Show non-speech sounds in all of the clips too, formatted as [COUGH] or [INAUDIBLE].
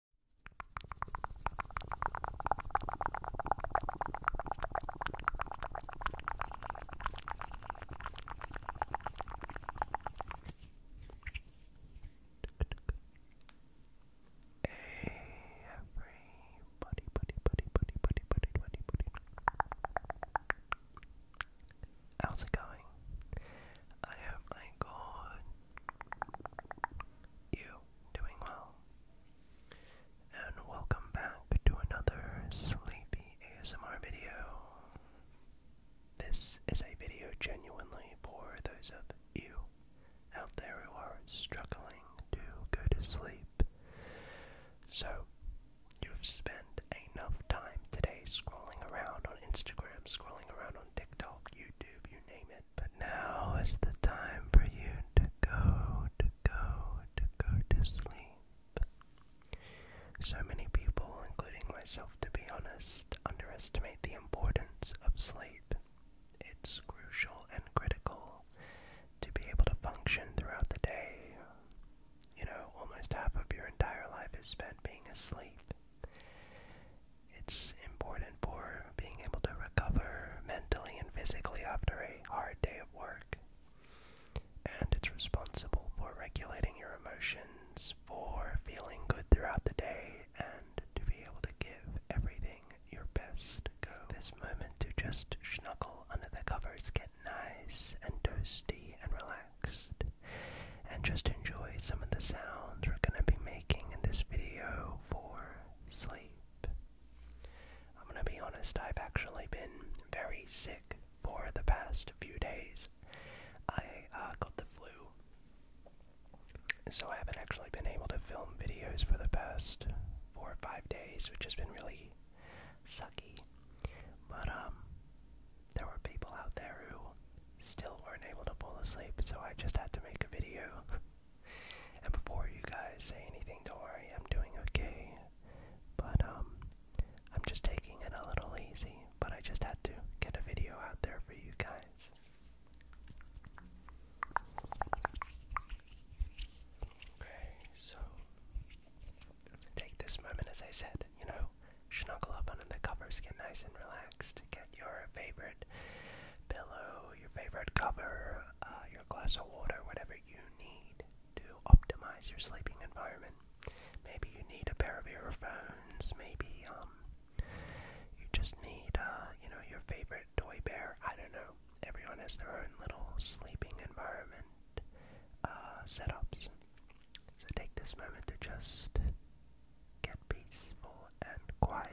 buddy, buddy, buddy, buddy, buddy, buddy, buddy, buddy. How's it going? I my God you doing well. And welcome back to another Sleepy ASMR video. This is a video genuinely for those of you out there who are struggling to go to sleep. So, you've spent enough time today scrolling around on Instagram, scrolling around on TikTok, YouTube, you name it but now is the time for you to go, to go, to go to sleep. So many people, including myself to be honest, underestimate the importance of sleep. It's crucial and critical to be able to function throughout the day. You know, almost half of your entire life is spent being asleep. It's important for being able to recover mentally and physically after a hard day of work. And it's responsible for regulating your emotions, for feeling good throughout the day, and to be able to give everything your best go. This moment to just snuggle under the covers, get nice and toasty and relaxed and just enjoy some of the sounds we're going to be making in this video for sleep. I'm going to be honest, I've actually been very sick for the past few days. I uh, got the flu, so I haven't actually been able to film videos for the past four or five days, which has been really sucky. But, um, there were people out there who still weren't able to fall asleep, so I just had to make a video. [LAUGHS] and before you guys say anything, don't worry, I'm doing okay. But, um, I'm just taking it a little easy, but I just had to get a video out there for you guys. Okay, so take this moment, as I said, you know, snuggle up under the covers, get nice and relaxed. Get your favorite pillow, your favorite cover, uh, your glass of water, whatever you need to optimize your sleeping environment. Maybe you need a pair of earphones. Maybe um, you just need uh, you know your favorite toy bear. I don't know. Everyone has their own little sleeping environment uh, setups. So take this moment to just get peaceful and quiet.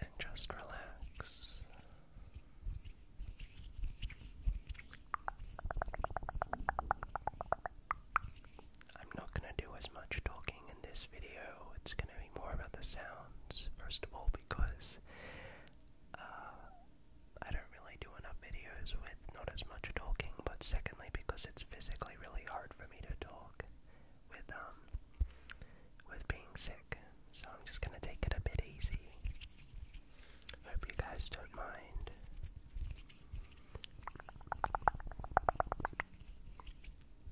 And just relax. I'm not going to do as much talking in this video. It's going to be more about the sounds, first of all, because uh, I don't really do enough videos with not as much talking, but secondly because it's physically really hard for me to talk with um, with being sick. So I'm just gonna take it a bit easy. Hope you guys don't mind.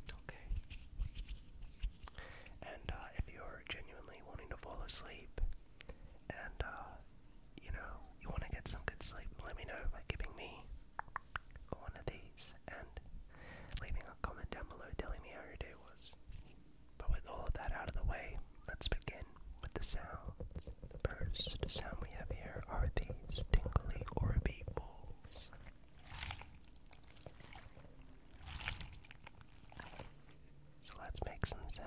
Okay. And uh, if you're genuinely wanting to fall asleep and uh, you know, you want to get some good sleep, let me know by giving me one of these and leaving a comment down below telling me how your day was. But with all of that out of the way, let's begin with the sounds. The first sound we have here are these tingly Orbeez balls. So let's make some sounds.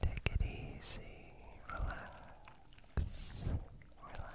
Take it easy, relax, relax.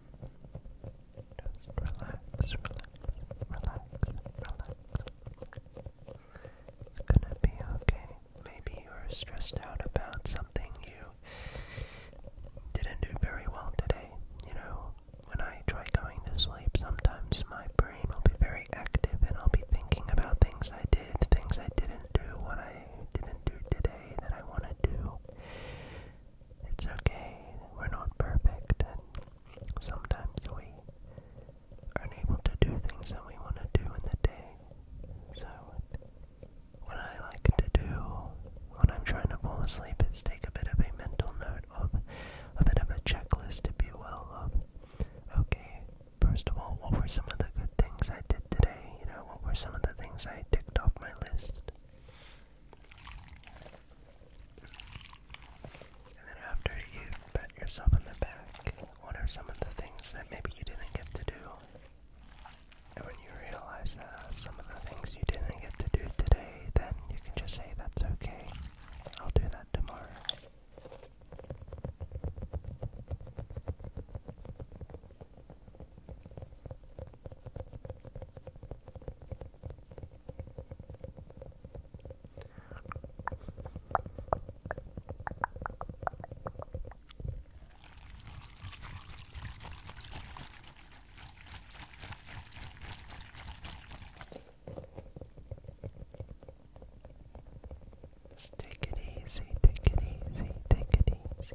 Just relax, relax, relax, relax. It's gonna be okay. Maybe you are stressed out about something you didn't do very well today. You know, when I try going to sleep, sometimes my brain will be very active and I'll be thinking about things I did, things I didn't do, what I didn't do today that I want to do. It's okay, we're not perfect, and sometimes we aren't able to do things that we want to do in the day. So, what I like to do when I'm trying to fall asleep is take a bit of a mental note of a bit of a checklist, if you will, of okay, first of all, what were some of the good things I did today? You know, what were some of the things I ticked off my list? And then after you've pat yourself on the back, what are some of the things that maybe you didn't get to do? And when you realize that some of the things you didn't get to do today, then you can just say, that's okay, I'll do that tomorrow. Just take it easy, take it easy, take it easy.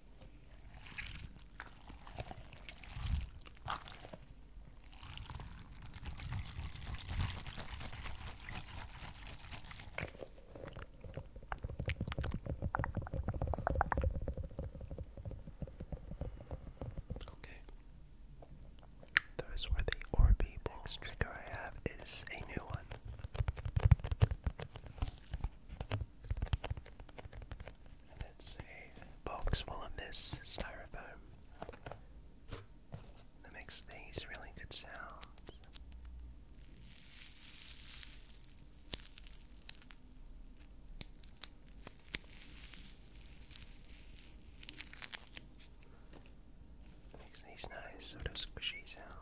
Okay. Those were the Orby box trigger I have is a new one. And that's a box full of this styrofoam that makes these really good sounds. Makes these nice sort of squishy sounds.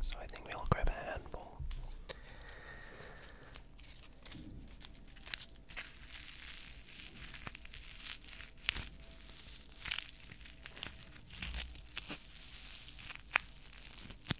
So I think we'll grab a handful.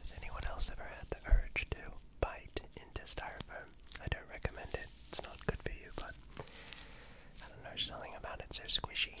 Has anyone else ever had the urge to bite into styrofoam? I don't recommend it. It's not good for you, but I don't know, something about it so squishy.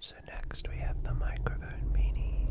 So, next we have the microphone beanie.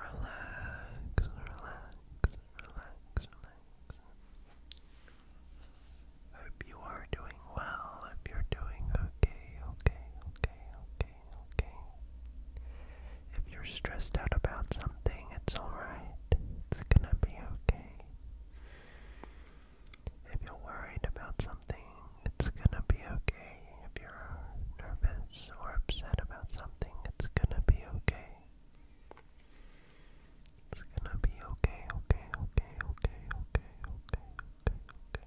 Relax, relax, relax, relax. Hope you are doing well, if you're doing okay, okay, okay, okay, okay. If you're stressed out about something, it's alright. It's gonna be okay. If you're worried about something, it's gonna be okay. If you're nervous or upset about something, it's gonna be okay. It's gonna be okay, okay, okay, okay, okay, okay, okay, okay.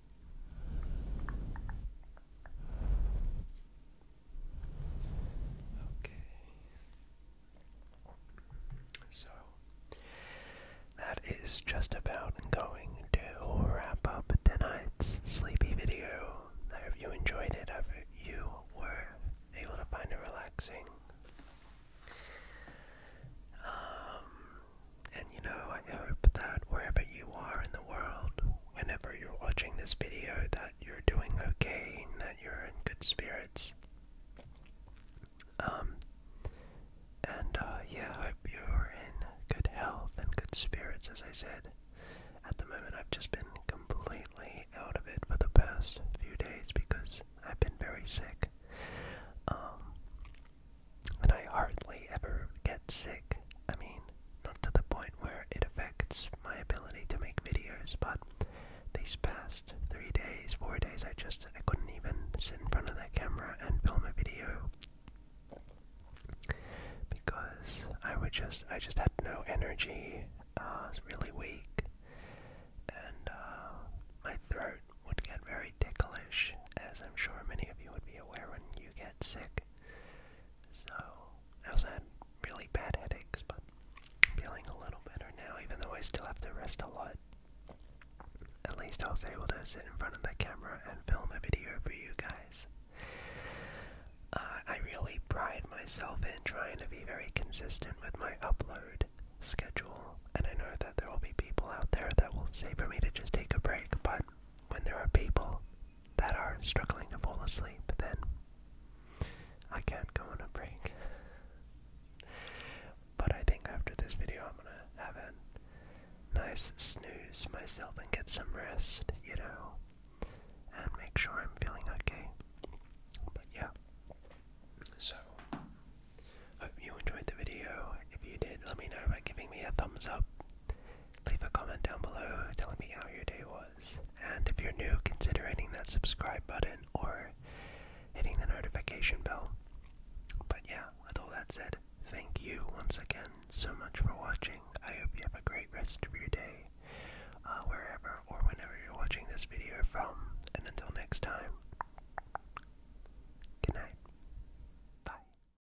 Okay. So that is just about going to wrap up tonight's sleepy video. I hope you enjoyed it. I hope you were able to find it relaxing. Um, and you know, I hope that wherever you are in the world, whenever you're watching this video that you're doing okay and that you're in good spirits. Um, and uh, yeah, I hope you're in good health and good spirits, as I said. At the moment, I've just been completely out of it for the past few days because I've been very sick. Um, and I hardly ever get sick. I mean, not to the point where it affects my ability to make videos, but these past three days, four days, I just I couldn't even sit in front of that camera and film a video because I would just I just had no energy. Uh, I was really weak, and uh, my throat would get very ticklish, as I'm sure many of you would be aware when you get sick. So I was had really bad headaches, but I'm feeling a little better now, even though I still have to rest a lot. At least I was able to sit in front of the camera and film a video for you guys. Uh, I really pride myself in trying to be very consistent with my upload schedule, and I know that there will be people out there that will say for me to just take a break, but when there are people that are struggling to fall asleep, then I can't go on a break. But I think after this video, I'm gonna have a nice snooze myself and get some rest, you know, and make sure I'm feeling okay. But yeah. So, hope you enjoyed the video. If you did, let me know by giving me a thumbs up Leave a comment down below telling me how your day was. And if you're new, consider hitting that subscribe button or hitting the notification bell. But yeah, with all that said, thank you once again so much for watching. I hope you have a great rest of your day, uh, wherever or whenever you're watching this video from. And until next time, good night. Bye.